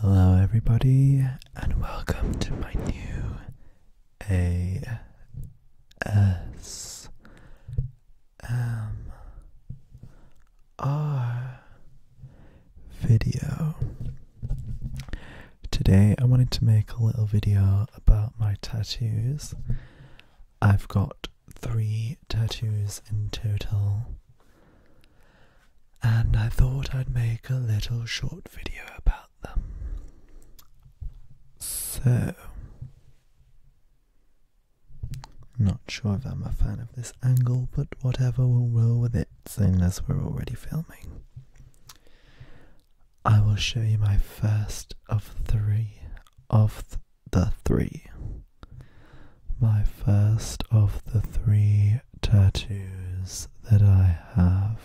Hello, everybody, and welcome to my new ASMR video. Today, I wanted to make a little video about my tattoos. I've got three tattoos in total. And I thought I'd make a little short video about them. So, not sure if I'm a fan of this angle, but whatever, will roll with it, seeing as we're already filming. I will show you my first of three of the three. My first of the three tattoos that I have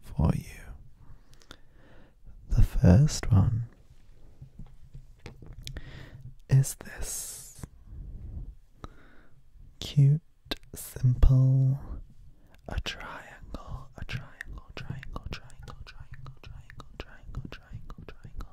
for you. The first one is this cute, simple, a triangle, a triangle, triangle, triangle, triangle, triangle, triangle, triangle, triangle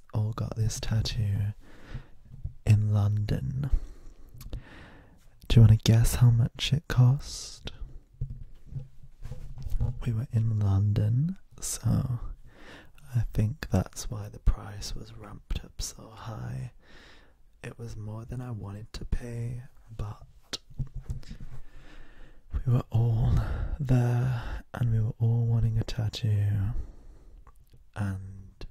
all got this tattoo in London. Do you want to guess how much it cost? We were in London, so I think that's why the price was ramped up so high. It was more than I wanted to pay, but we were all there and we were all wanting a tattoo and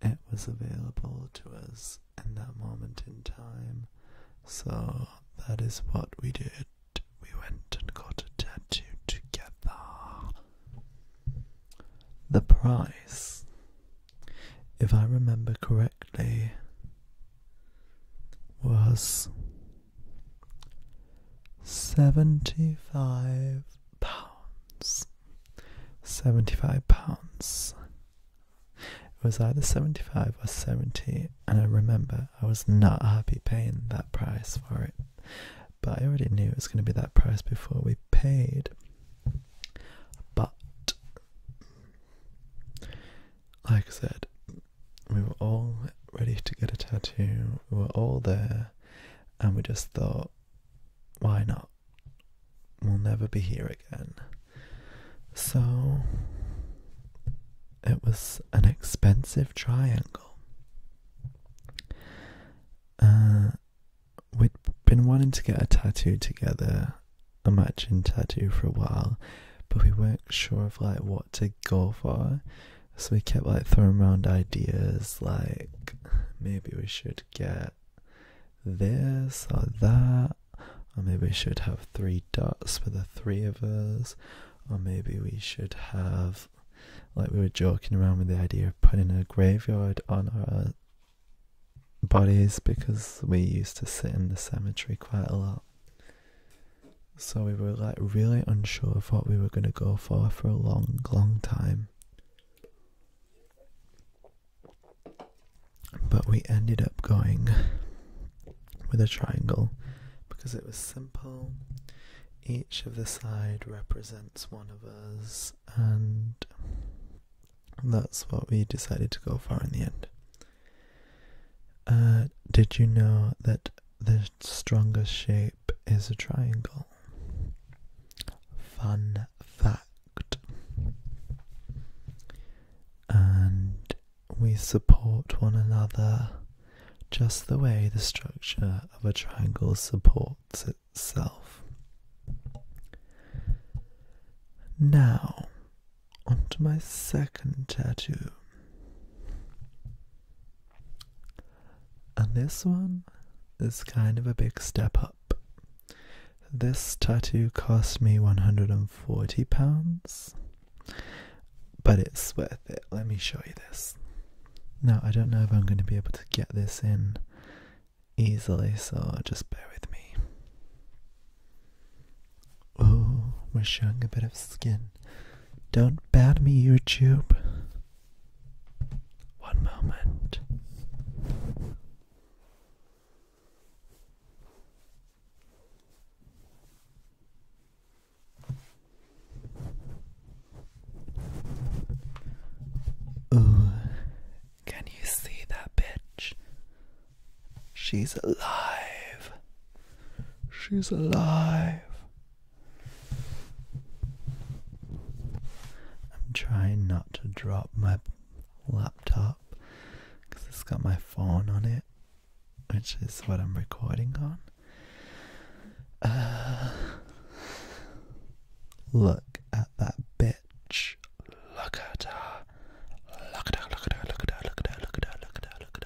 it was available to us in that moment in time. So that is what we did. We went and got a tattoo together. The price, if I remember correctly, was seventy five pounds. 75 pounds. It was either 75 or 70, and I remember I was not happy paying that price for it. But I already knew it was going to be that price before we paid. But, like I said, we were all ready to get a tattoo, we were all there and we just thought, why not? We'll never be here again. So it was an expensive triangle. Uh, we'd been wanting to get a tattoo together, a matching tattoo for a while, but we weren't sure of like what to go for. So we kept like throwing around ideas like maybe we should get this or that, or maybe we should have three dots for the three of us, or maybe we should have like we were joking around with the idea of putting a graveyard on our bodies because we used to sit in the cemetery quite a lot. So we were like really unsure of what we were going to go for for a long, long time. But we ended up going with a triangle because it was simple. Each of the side represents one of us, and that's what we decided to go for in the end. Uh, did you know that the strongest shape is a triangle. Fun fact. And we support one another just the way the structure of a triangle supports itself. Now, onto my second tattoo. And this one is kind of a big step up. This tattoo cost me £140, but it's worth it. Let me show you this. Now, I don't know if I'm going to be able to get this in easily, so just bear with me. Oh, we're showing a bit of skin. Don't bat me, YouTube. One moment. Ooh, can you see that bitch? She's alive. She's alive. I'm trying not to drop my laptop because it's got my phone on it, which is what I'm recording on. Uh, look at that bitch. Look at her. Look at her, look at her, look at her, look at her, look at her, look at her, look at her, look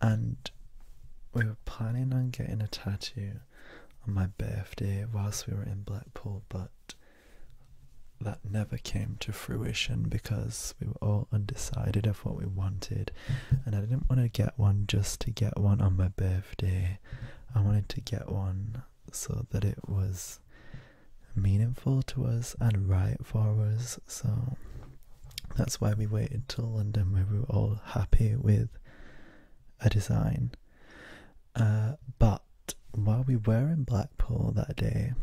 and we were planning on getting a tattoo on my birthday whilst we were in Blackpool, but that never came to fruition because we were all undecided of what we wanted, and I didn't want to get one just to get one on my birthday. I wanted to get one so that it was meaningful to us and right for us. So that's why we waited till London, where we were all happy with a design. Uh, but while we were in Blackpool that day,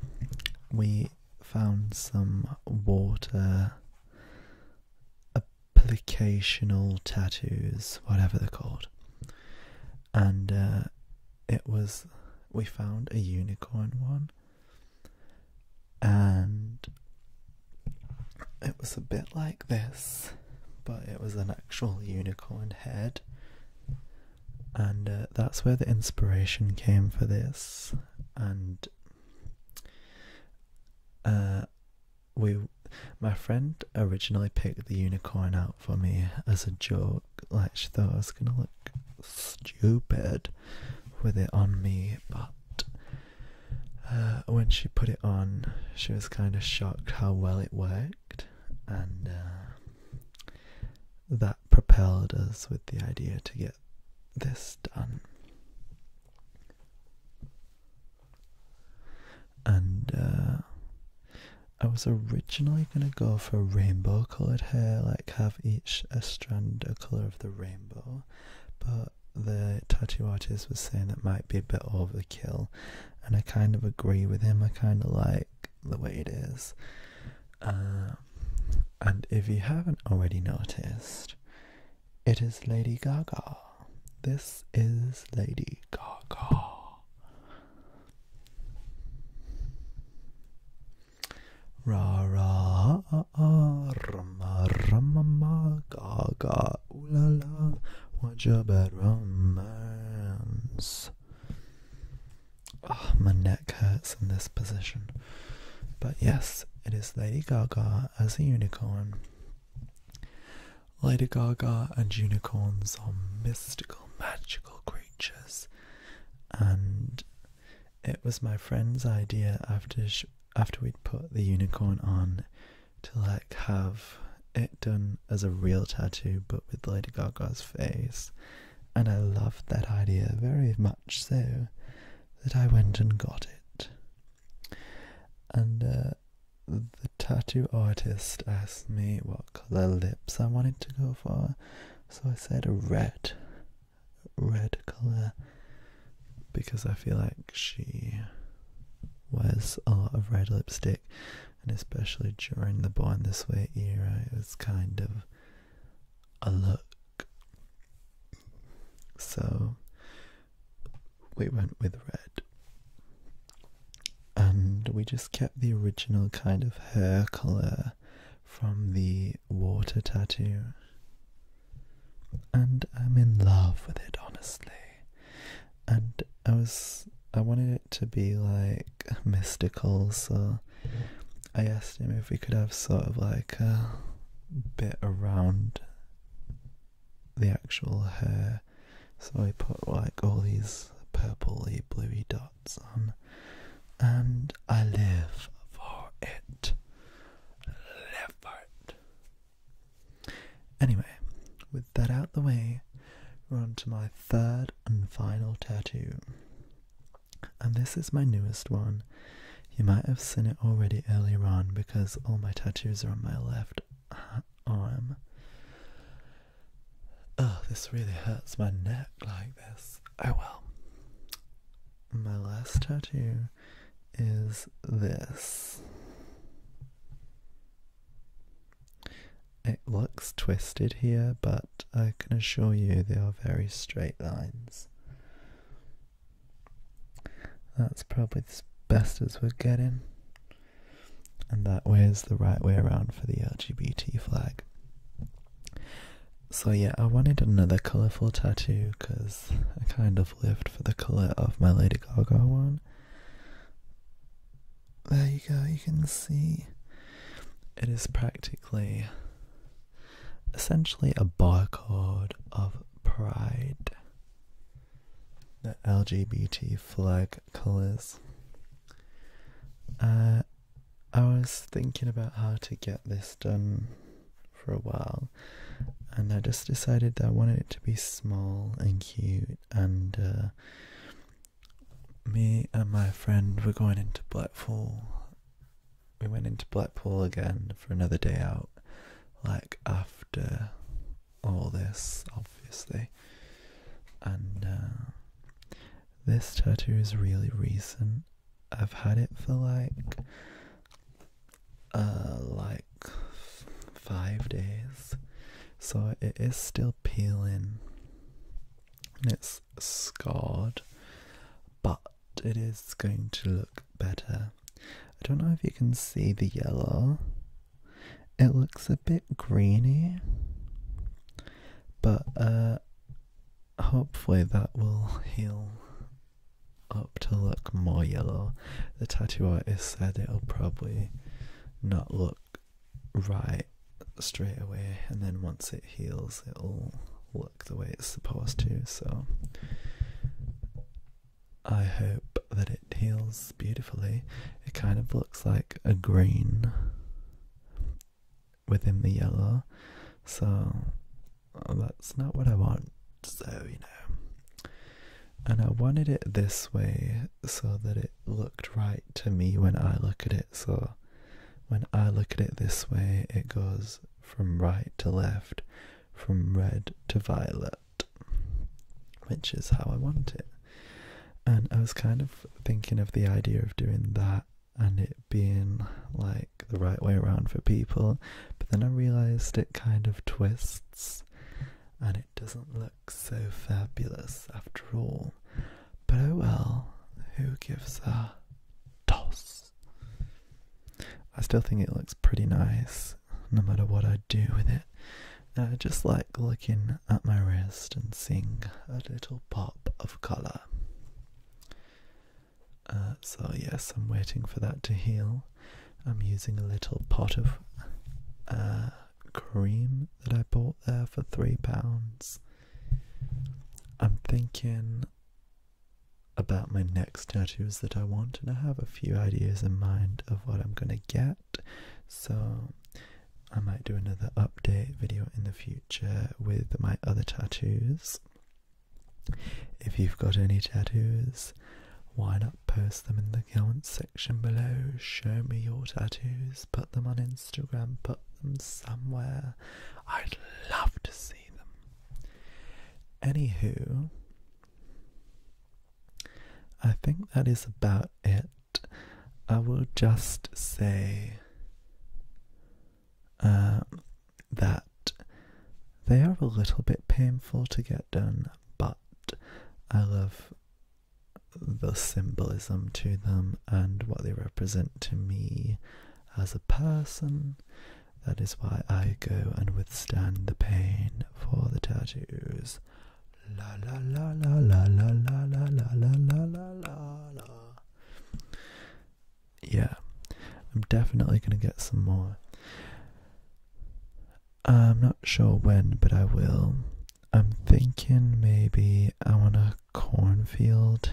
we found some water applicational tattoos, whatever they're called. And uh, it was, we found a unicorn one and it was a bit like this, but it was an actual unicorn head, and uh, that's where the inspiration came for this. And uh, we, my friend, originally picked the unicorn out for me as a joke. Like she thought it was gonna look stupid with it on me, but uh, when she put it on, she was kind of shocked how well it worked, and uh, that propelled us with the idea to get this done. And uh, I was originally gonna go for rainbow coloured hair, like have each a strand a colour of the rainbow, but the tattoo artist was saying that might be a bit overkill, and I kind of agree with him. I kind of like the way it is. Um, and if you haven't already noticed, it is Lady Gaga. This is Lady Gaga. Ra ra ah ah rama rama ma ga ga ooh la la what a bad romance. Oh, my neck hurts in this position. But yes, it is Lady Gaga as a unicorn. Lady Gaga and unicorns are mystical, magical creatures, and it was my friend's idea after after we'd put the unicorn on to like have it done as a real tattoo but with Lady Gaga's face, and I loved that idea very much so that I went and got it. And uh, the tattoo artist asked me what colour lips I wanted to go for, so I said red red colour because I feel like she wears a lot of red lipstick and especially during the Born This Way era it was kind of a look. So we went with red. And we just kept the original kind of hair colour from the water tattoo. And I'm in love with it, honestly. And I was, I wanted it to be like mystical, so I asked him if we could have sort of like a bit around the actual hair. So I put like all these purpley, bluey dots sun, and I live for it. Live Anyway, with that out the way, we're on to my third and final tattoo. And this is my newest one. You might have seen it already earlier on because all my tattoos are on my left arm. Oh, this really hurts my neck like this. Oh well my last tattoo is this. It looks twisted here, but I can assure you they are very straight lines. That's probably as best as we're getting. And that way is the right way around for the LGBT flag. So yeah, I wanted another colorful tattoo because I kind of lived for the color of my Lady Gaga one. There you go, you can see it is practically essentially a barcode of pride. The LGBT flag colors. Uh, I was thinking about how to get this done for a while, and I just decided that I wanted it to be small and cute. And uh, me and my friend were going into Blackpool. We went into Blackpool again for another day out, like after all this, obviously. And uh, this tattoo is really recent. I've had it for like, uh, like five days, so it is still peeling and it's scarred, but it is going to look better. I don't know if you can see the yellow, it looks a bit greeny, but uh, hopefully that will heal up to look more yellow. The tattoo artist said it'll probably not look right straight away, and then once it heals, it'll look the way it's supposed to. So I hope that it heals beautifully. It kind of looks like a green within the yellow. So uh, that's not what I want. So, you know. And I wanted it this way so that it looked right to me when I look at it. So when I look at it this way, it goes from right to left, from red to violet, which is how I want it and I was kind of thinking of the idea of doing that and it being like the right way around for people, but then I realized it kind of twists and it doesn't look so fabulous after all. But oh well, who gives a toss? I still think it looks pretty nice no matter what I do with it. I just like looking at my wrist and seeing a little pop of colour. Uh, so, yes, I'm waiting for that to heal. I'm using a little pot of uh, cream that I bought there for £3. I'm thinking about my next tattoos that I want, and I have a few ideas in mind of what I'm going to get. So I might do another update video in the future with my other tattoos. If you've got any tattoos, why not post them in the comments section below? Show me your tattoos, put them on Instagram, put them somewhere. I'd love to see them. Anywho, I think that is about it I will just say um, that they are a little bit painful to get done, but I love the symbolism to them and what they represent to me as a person. That is why I go and withstand the pain for the tattoos. La la la la la la la la la la la la Yeah, I'm definitely gonna get some more. I'm not sure when, but I will. I'm thinking maybe I want a cornfield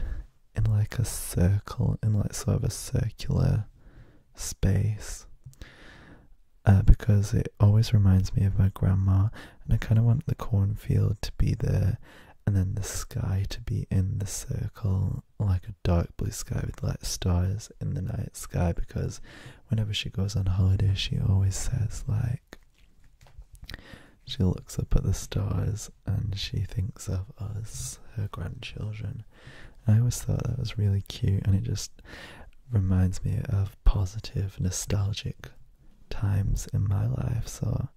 in like a circle, in like sort of a circular space. Uh, because it always reminds me of my grandma, and I kind of want the cornfield to be there, and then the sky to be in the circle, like a dark blue sky with like stars in the night sky. Because whenever she goes on holiday, she always says, like, she looks up at the stars and she thinks of us, her grandchildren. I always thought that was really cute, and it just reminds me of positive, nostalgic times in my life, so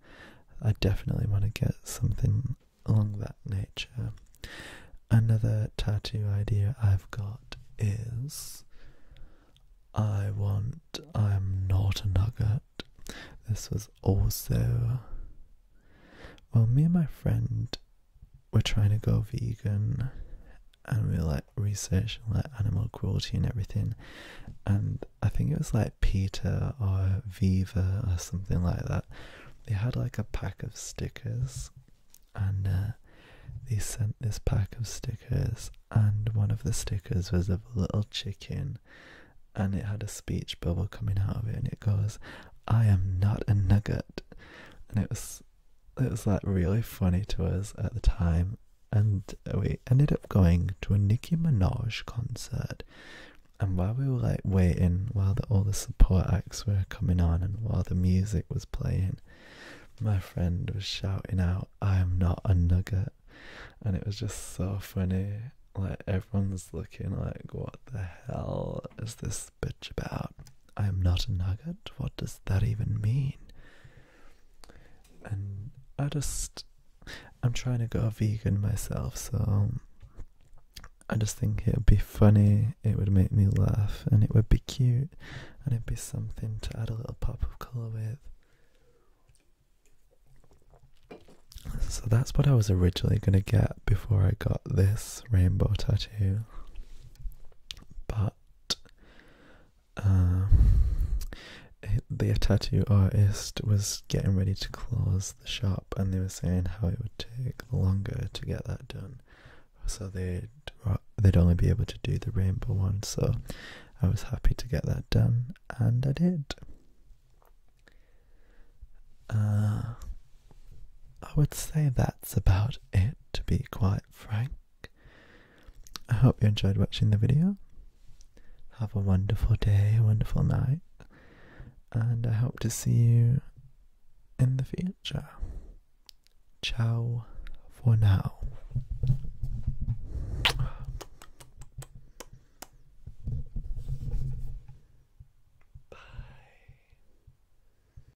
I definitely want to get something along that nature. Another tattoo idea I've got is I want I'm not a nugget. This was also well me and my friend were trying to go vegan and we like researching like animal cruelty and everything and I think it was like Peter or Viva or something like that. They had like a pack of stickers and uh, they sent this pack of stickers and one of the stickers was of a little chicken and it had a speech bubble coming out of it and it goes, I am not a nugget and it was it was like really funny to us at the time, and we ended up going to a Nicki Minaj concert. And while we were like waiting, while all the support acts were coming on, and while the music was playing, my friend was shouting out, "I am not a nugget," and it was just so funny. Like everyone's looking like, "What the hell is this bitch about?" I am not a nugget. What does that even mean? And I just, I'm trying to go vegan myself, so I just think it would be funny, it would make me laugh, and it would be cute, and it'd be something to add a little pop of colour with. So that's what I was originally going to get before I got this rainbow tattoo. But um, the tattoo artist was getting ready to close the shop and they were saying how it would take longer to get that done so they'd they'd only be able to do the rainbow one so i was happy to get that done and i did uh, i would say that's about it to be quite frank I hope you enjoyed watching the video. Have a wonderful day, a wonderful night, and I hope to see you in the future. Ciao for now. Bye.